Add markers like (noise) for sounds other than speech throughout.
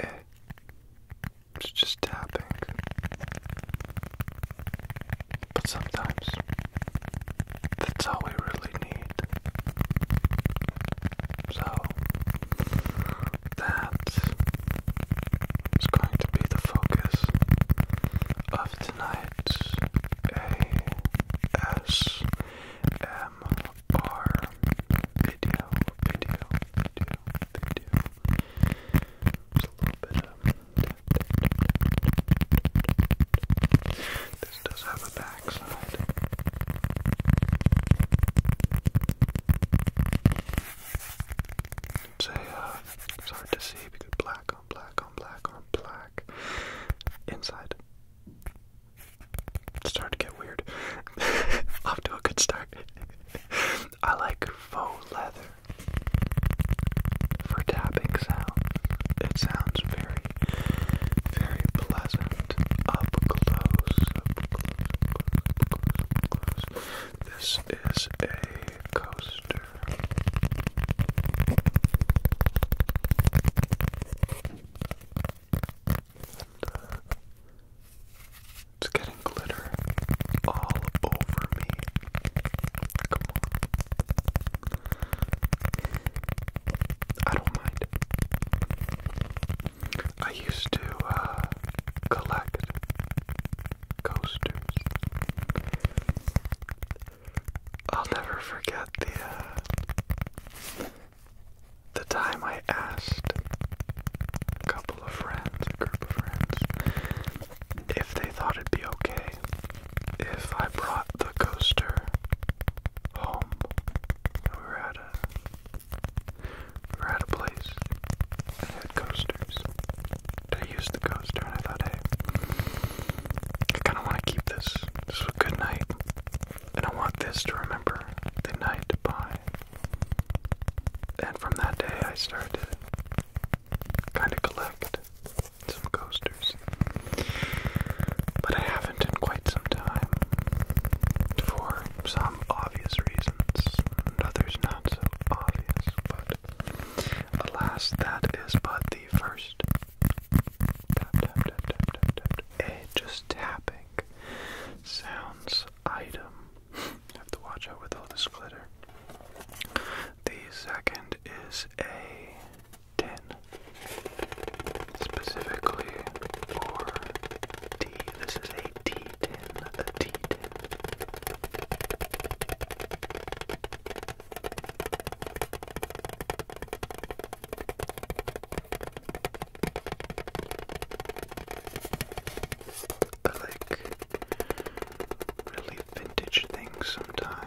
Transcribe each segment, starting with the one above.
Eh. it's just tapping, but sometimes that's all we really need night. So that is going to be the focus of tonight's ASMR video, video, video, video. Just a little bit of this does have a backside. It's a, uh, it's hard to see because black on black on black on black. Inside. It's starting to get weird. (laughs) Off to a good start. (laughs) I like faux leather for tapping sound. It sounds very very pleasant up close, This is a coaster. Uh, it's getting glitter all over me. Come on. I don't mind. I used to uh, collect coasters. I'll never forget the uh, the time I asked a couple of friends, a group of friends, if they thought it'd be okay if I brought the coaster home. And we were at a we were at a place that had coasters. I used the coaster and I thought, hey, I kinda wanna keep this. This was a good night. And I want this to remember the night by. And from that day I started to kinda collect some coasters. But I haven't in quite some time. For some obvious reasons, others not so obvious, but alas, that is but the first a just tapping sounds item. have to watch out with all this glitter. The second is a 10 specifically for D. This is a D10, a D10. I really vintage things sometimes.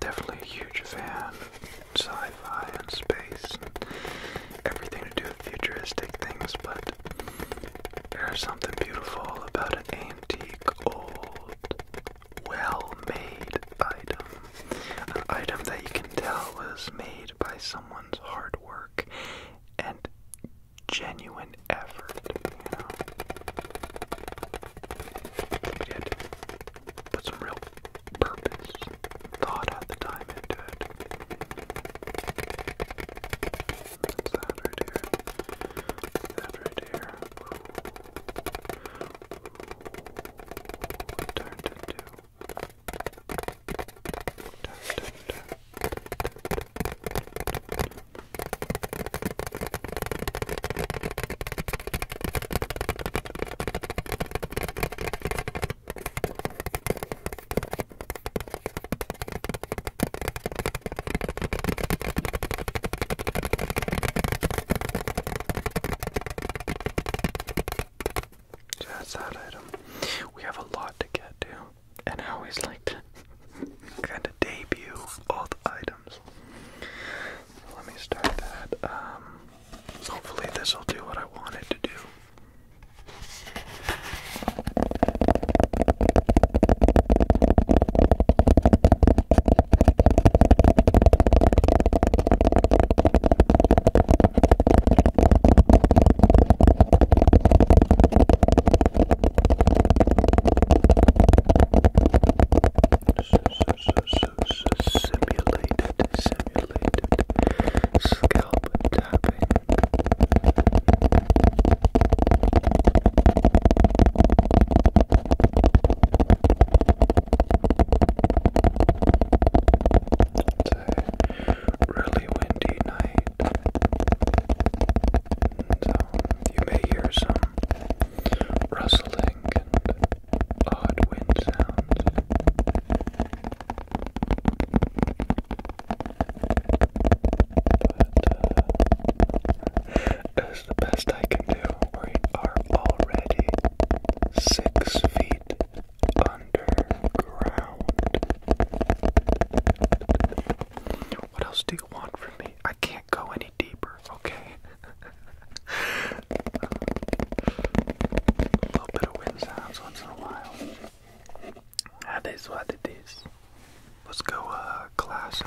Definitely a huge fan. Sci-fi and space everything to do with futuristic things, but there's something beautiful about an antique, old, well-made item. An item that you can tell was made by someone's hard work and genuine effort, put some real purpose, thought at the time into it. That's that right here. That right here. Ooh. Ooh. Turned into. Turned into. That's that item. We have a lot to get to, and I always like to (laughs) kind of debut all the items let me start that. Um, hopefully this will do what I want to do simulated, simulated scalp tapping. really windy night, and, you may hear some rustling odd wind sounds. But uh, the best I can do. We are already six feet underground. What else do you want from me? I can't go any deeper okay? (laughs) a little bit of wind sounds once in a while. That is what it is. Let's go, uh, classic.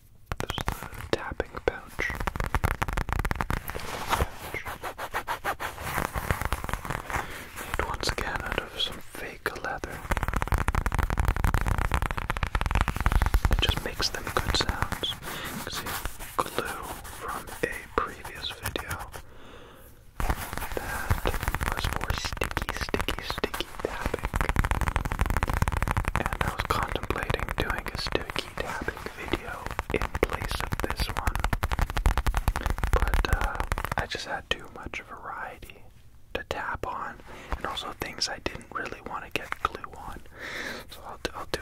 This is the tapping pouch. pouch. Made once of some fake leather. It just makes them good sounds. see glue from a previous video. That was more sticky, sticky, sticky. And I was contemplating doing a sticky tapping video in place of this one. But uh, I just had too much variety to tap on, and also things I didn't really want to get glue on. So I'll do,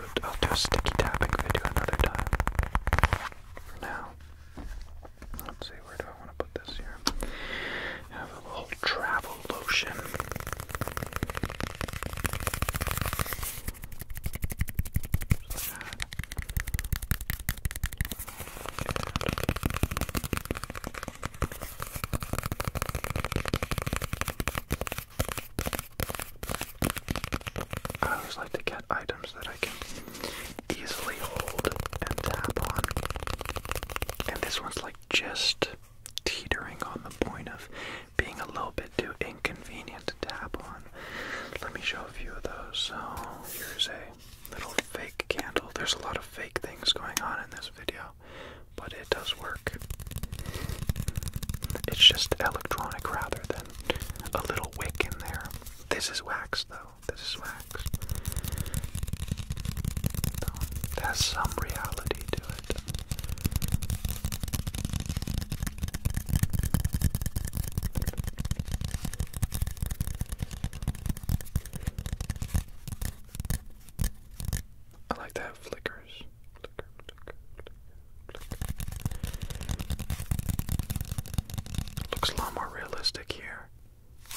a sticky tapping video another time. For now, let's see where I want to have a little travel lotion. I always like to get items that I can easily hold and tap on. And this one's like just teetering on the point of being a little bit too inconvenient to tap on. Let me show a few of those. So here's a little fake candle. There's a lot of fake things going on in this video, but it does work. It's just electronic rather than a little wick in there. This is wax though. This is wax relax. There's some reality to it. I like to have flickers. Looks a lot more realistic here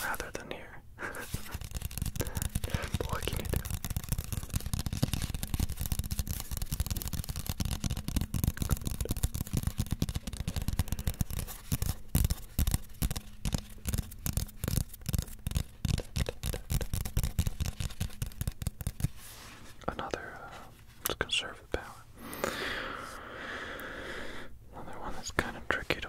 rather than here. but what can you do? Another, uh, power. Another one that's kind of tricky to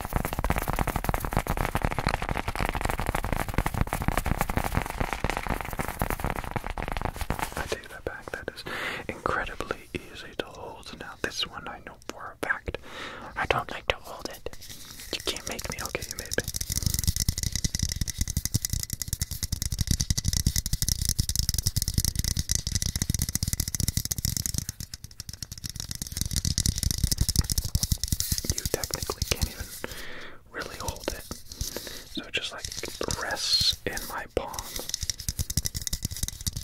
I take that back, that is incredibly easy to hold. Now, this one I know for a fact. I don't like to hold it. You can't make me, okay, you made me. You technically can't even really hold it. So it just like rests in my palm.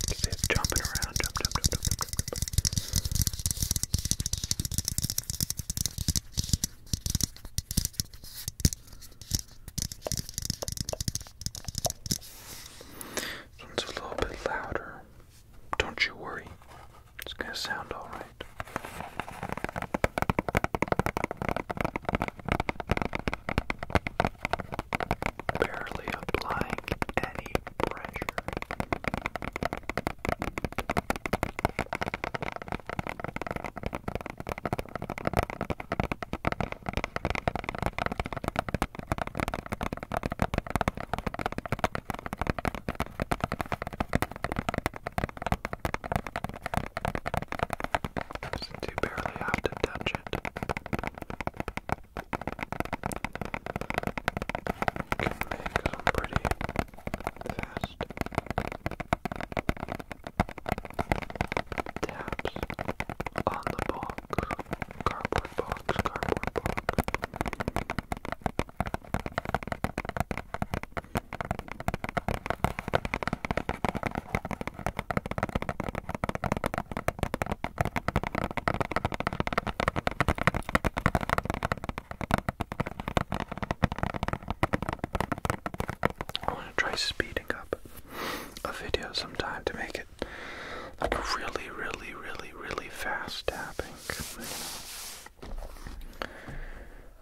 You jumping around, jump, jump, jump, jump, jump. This one's a little bit louder. Don't you worry, it's gonna sound alright. Barely applying any pressure. Since you barely have to touch it, you can make some pretty fast taps on the box, cardboard box, cardboard box. I want to try speeding up a video sometime to make it like really, really, really, really fast tapping.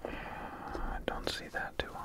I don't see that too often.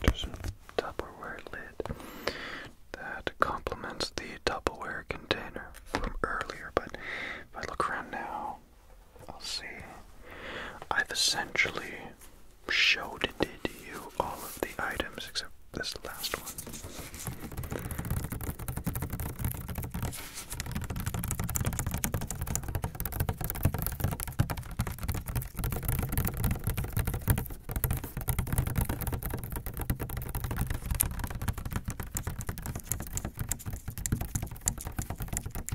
There's a Tupperware lid that complements the Tupperware container from earlier, but if I look around now, I'll see. I've essentially showed it to you all of the items except this last one.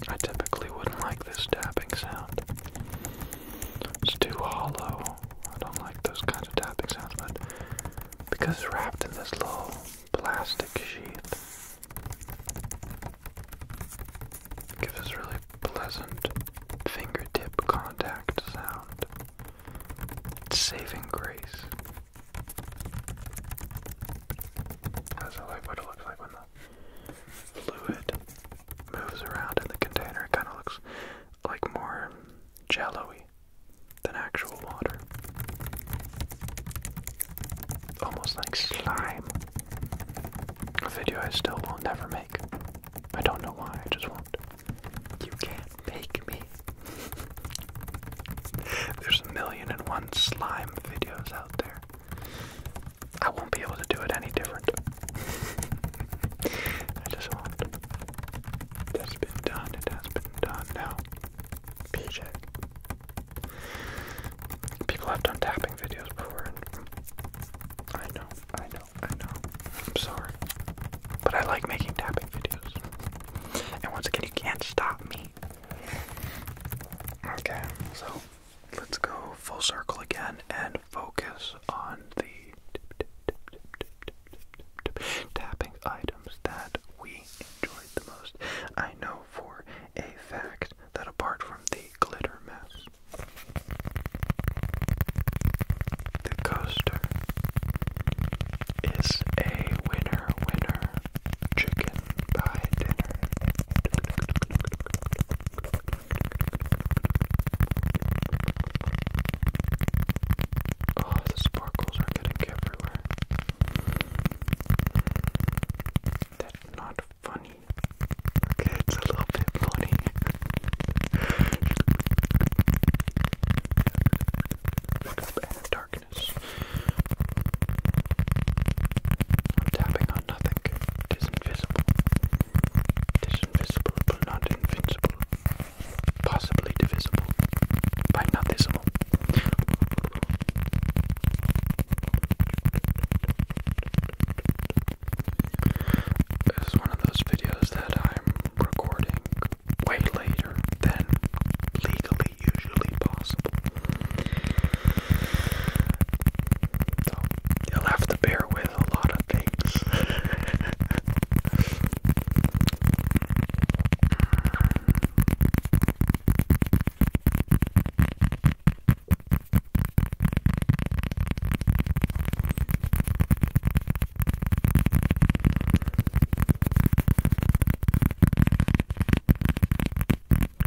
I typically wouldn't like this tapping sound. It's too hollow. I don't like those kinds of tapping sounds, but because it's wrapped in this little plastic sheath, gives this really pleasant fingertip contact sound. It's saving grace. That's like what it looks like when the fluid moves around in the container. It kind of looks like more jello than actual water. Almost like slime. A video I still will never make. I don't know why, I just won't. You can't make me. (laughs) There's a million and one slime videos out there. I won't be able to do it any different. (laughs) I just won't. It has been done. It has been done now. PJ. People have done tapping videos before. I know, I know, I know. I'm sorry. But I like making tapping videos. And once again, you can't stop me. Okay, so let's go full circle again and focus on the tapping items that we enjoyed the most. I know for a fact that apart from the glitter mess, the coaster is a winner winner chicken pie dinner. Oh, the sparkles are getting everywhere. That's not funny. Okay, it's a little bit funny. Look darkness. tapping on nothing. It is invisible. It is invisible, but not invincible possibly divisible by not visible. one of those videos that I'm recording way later than legally usually possible. So you'll have to bear with is a lot of things. (laughs)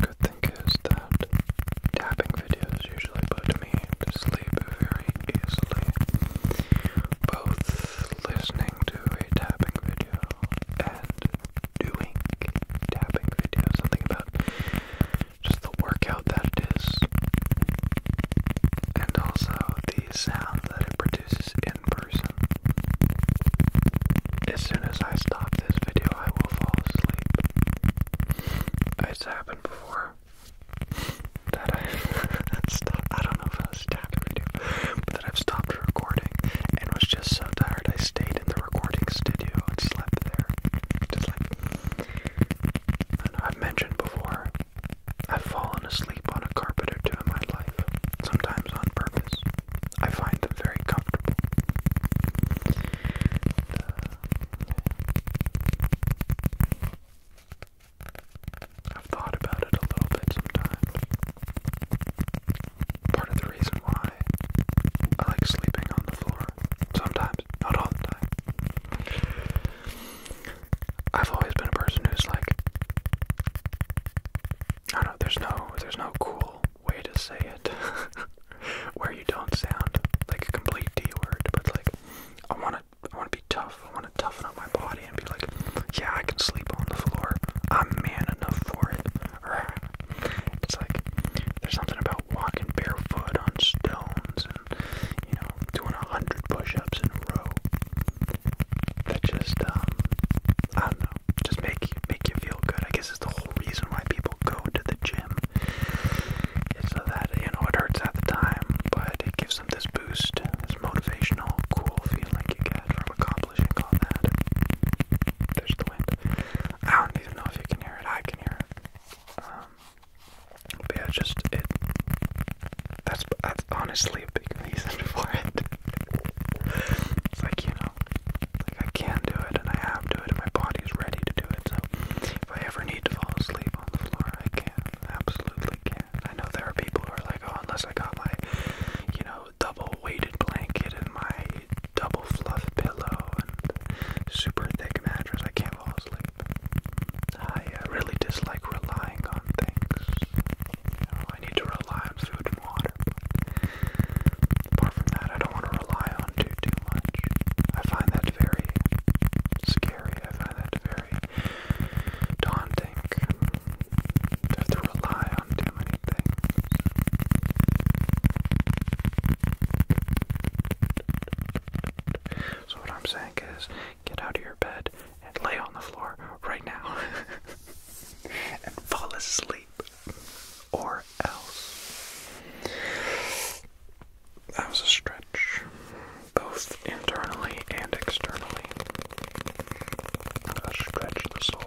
Good thing is that tapping videos usually put me to sleep very easily both listening to a tapping video and doing tapping video, something about just the workout that it is, and also the sound that it produces in person. As soon as I stop this video, I will fall asleep. It's happened before, that I've (laughs) stopped. I don't know if I was tapping video, but that I've stopped recording and was just so tired I stayed in the recording studio and slept there. Just like I have mentioned before, I've fallen asleep on a carpet or two in my life, sometimes on purpose. I find them very comfortable. I've thought about it a little bit sometimes. Part of the reason why I like sleeping on the floor sometimes, not all the I've always been a person who's like, I don't know. There's no, there's no cool way to say it (laughs) where you don't sound like a complete D word, but like I want to I want to be tough. I want to toughen up my body and be like, yeah, I can sleep on the floor. I'm man enough for it. It's like there's something about walking barefoot on stones and you know doing a hundred push-ups in a row that just um I don't know just make you make you feel good. I guess it's the whole reason why people go to the gym so that, you know, it hurts at the time, but it gives them this boost, this motivational, cool feeling you get from accomplishing all that. There's the wind. I don't even know if you can hear it. I can hear it. Um, but yeah, just it. That's that's honestly a big reason (laughs) for it. it's like you know, like I can do it and I have to do it, and my body's ready to do it. So if I ever need to fall asleep on the floor, I can absolutely I know there are people who are like, oh, unless I got my, you know, double weighted blanket and my double fluff pillow and super thick mattress, I can't fall asleep. I uh, really dislike relying on things. I need to rely on food and water. Apart from that, I don't want to rely on too too much. I find that very scary. I find that very daunting to have to rely on too many things. So, what I'm saying is get out of your bed and lay on the floor right now (laughs) and fall asleep, or else. That was a stretch, both internally and externally. stretch the soul.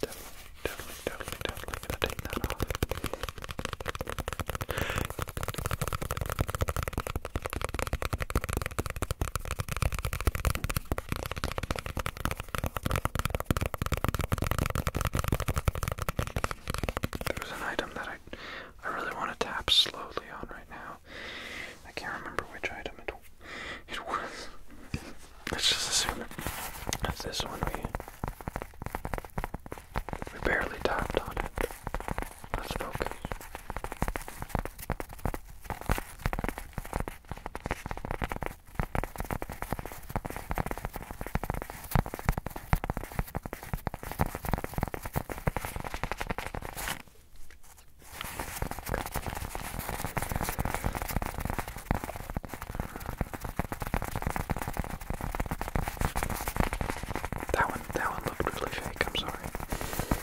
Definitely, definitely, definitely gonna take that off. There was an item that I, I really want to tap slowly on right now. I can't remember which item it, it was. Let's just assume it's this one. We we barely tapped on it. Let's That one, that one looked really fake floor.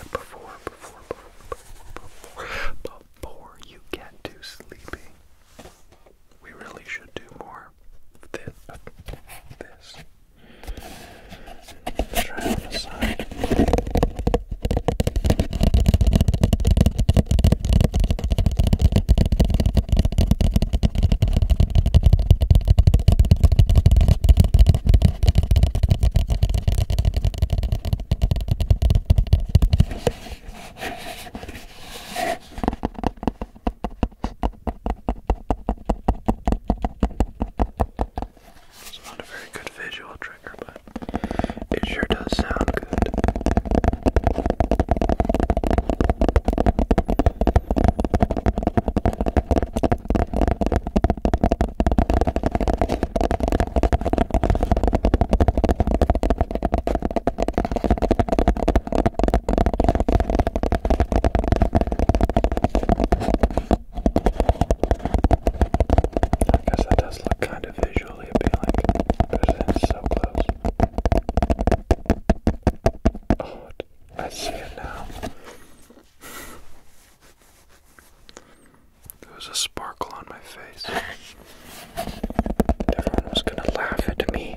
But before, before, before, before, before you get too sleepy, we really should do more of this. Try on the side. It's not a very good visual trigger, but it sure does sound good. I guess that does look kind of visually appealing because it's so close. Oh, I see it now. There was a sparkle on my face. Everyone was gonna laugh at me.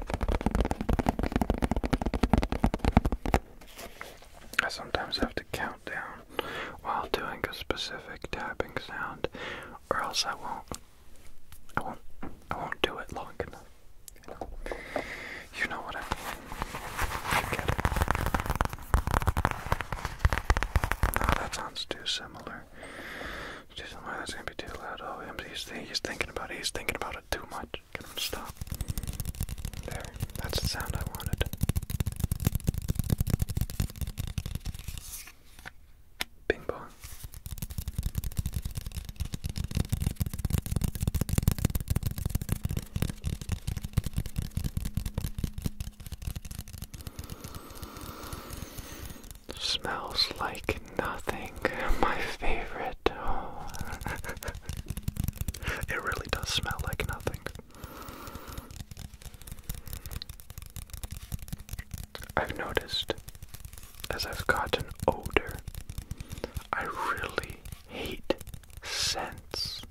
I sometimes have to count down while doing a specific tapping sound, or else I won't. I won't. I won't do it long enough. You know, what I mean. You get it. No, that sounds too similar. Too similar. That's gonna be too loud. Oh, he's, thinking about it. He's thinking about it too much. Can I stop? There, that's the sound I wanted. Bing bong. Smells like nothing. (laughs) My favorite. (laughs) it. really does smell like nothing. I've noticed as I've gotten older, I really hate scents.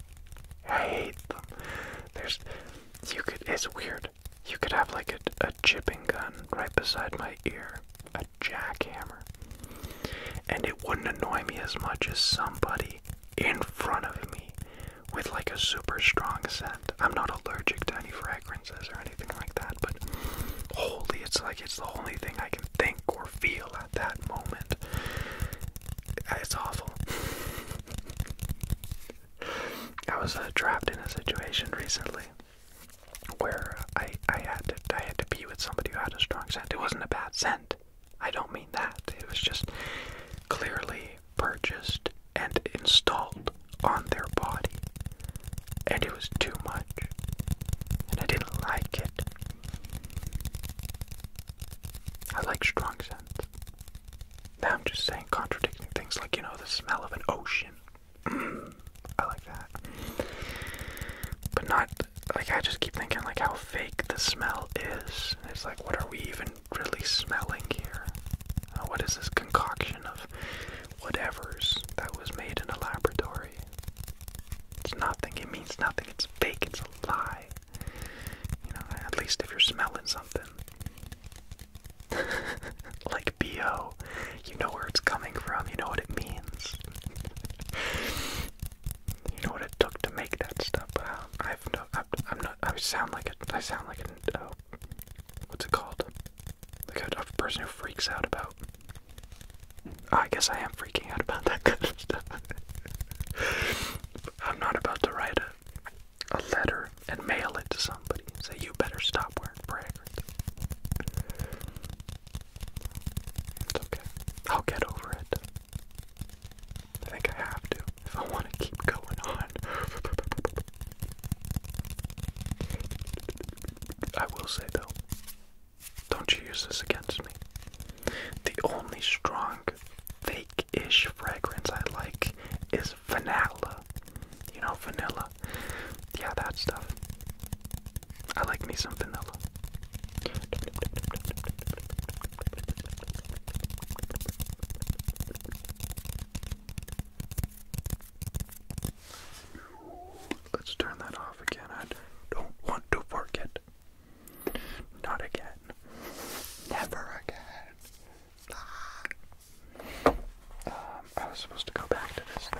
I hate them. There's, you could, it's weird. You could have like a, a chipping gun right beside my ear, jackhammer. And it wouldn't annoy me as much as somebody in front of me with like a super strong scent. I'm not allergic to any fragrances or anything like that, but holy, it's like it's the only thing I can think or feel at that moment. Uh, it's awful. (laughs) I was uh, trapped in a situation recently where I I had to had to be with somebody who had a strong scent. It wasn't a bad scent. I don't mean that. It was just clearly purchased and installed on their body. And it was too much. And I didn't like it. I like strong scents. Now I'm just saying contradicting things like, you know, the smell of an ocean (clears throat) I like that. But not like I just keep thinking like how fake the smell is. It's like what are we even really smelling here? Uh, what is this concoction of whatever's that was made in a laboratory? It's nothing. It means nothing. It's fake. It's a lie. You know, at least if you're smelling something. (laughs) like BO. You know where it's coming from, you know what it means. you know what it took to make that stuff. Uh, I've no, I, am not, I sound like a, I sound like a, uh, what's it called? Like a, a person who freaks out about, I guess I am freaking out about that (laughs) kind of stuff. I'm not about to write a a letter and mail it to somebody. Say, you better stop wearing fragrance. It's okay. I'll get over it. I think I have to if I want to keep going on. I will say though, don't you use this against me. The only strong, fake ish fragrance I like is vanilla. You know, vanilla yeah, that stuff. I like me some vanilla. Let's turn that off again. I don't want to forget. Not again. Never again. Ah. Ah. Um, I was supposed to go back to this thing.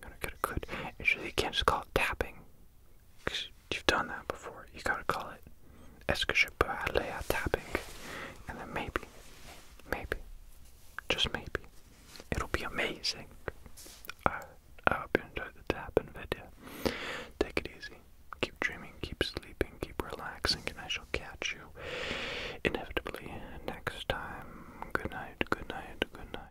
Gotta get a good. Actually, you can just call it tapping. Cause you've done that before. You gotta call it escapade tapping, and then maybe, maybe, just maybe, it'll be amazing. I, I hope you enjoyed the tapping video. Take it easy. Keep dreaming. Keep sleeping. Keep relaxing, and I shall catch you inevitably next time. Good night. Good night. Good night.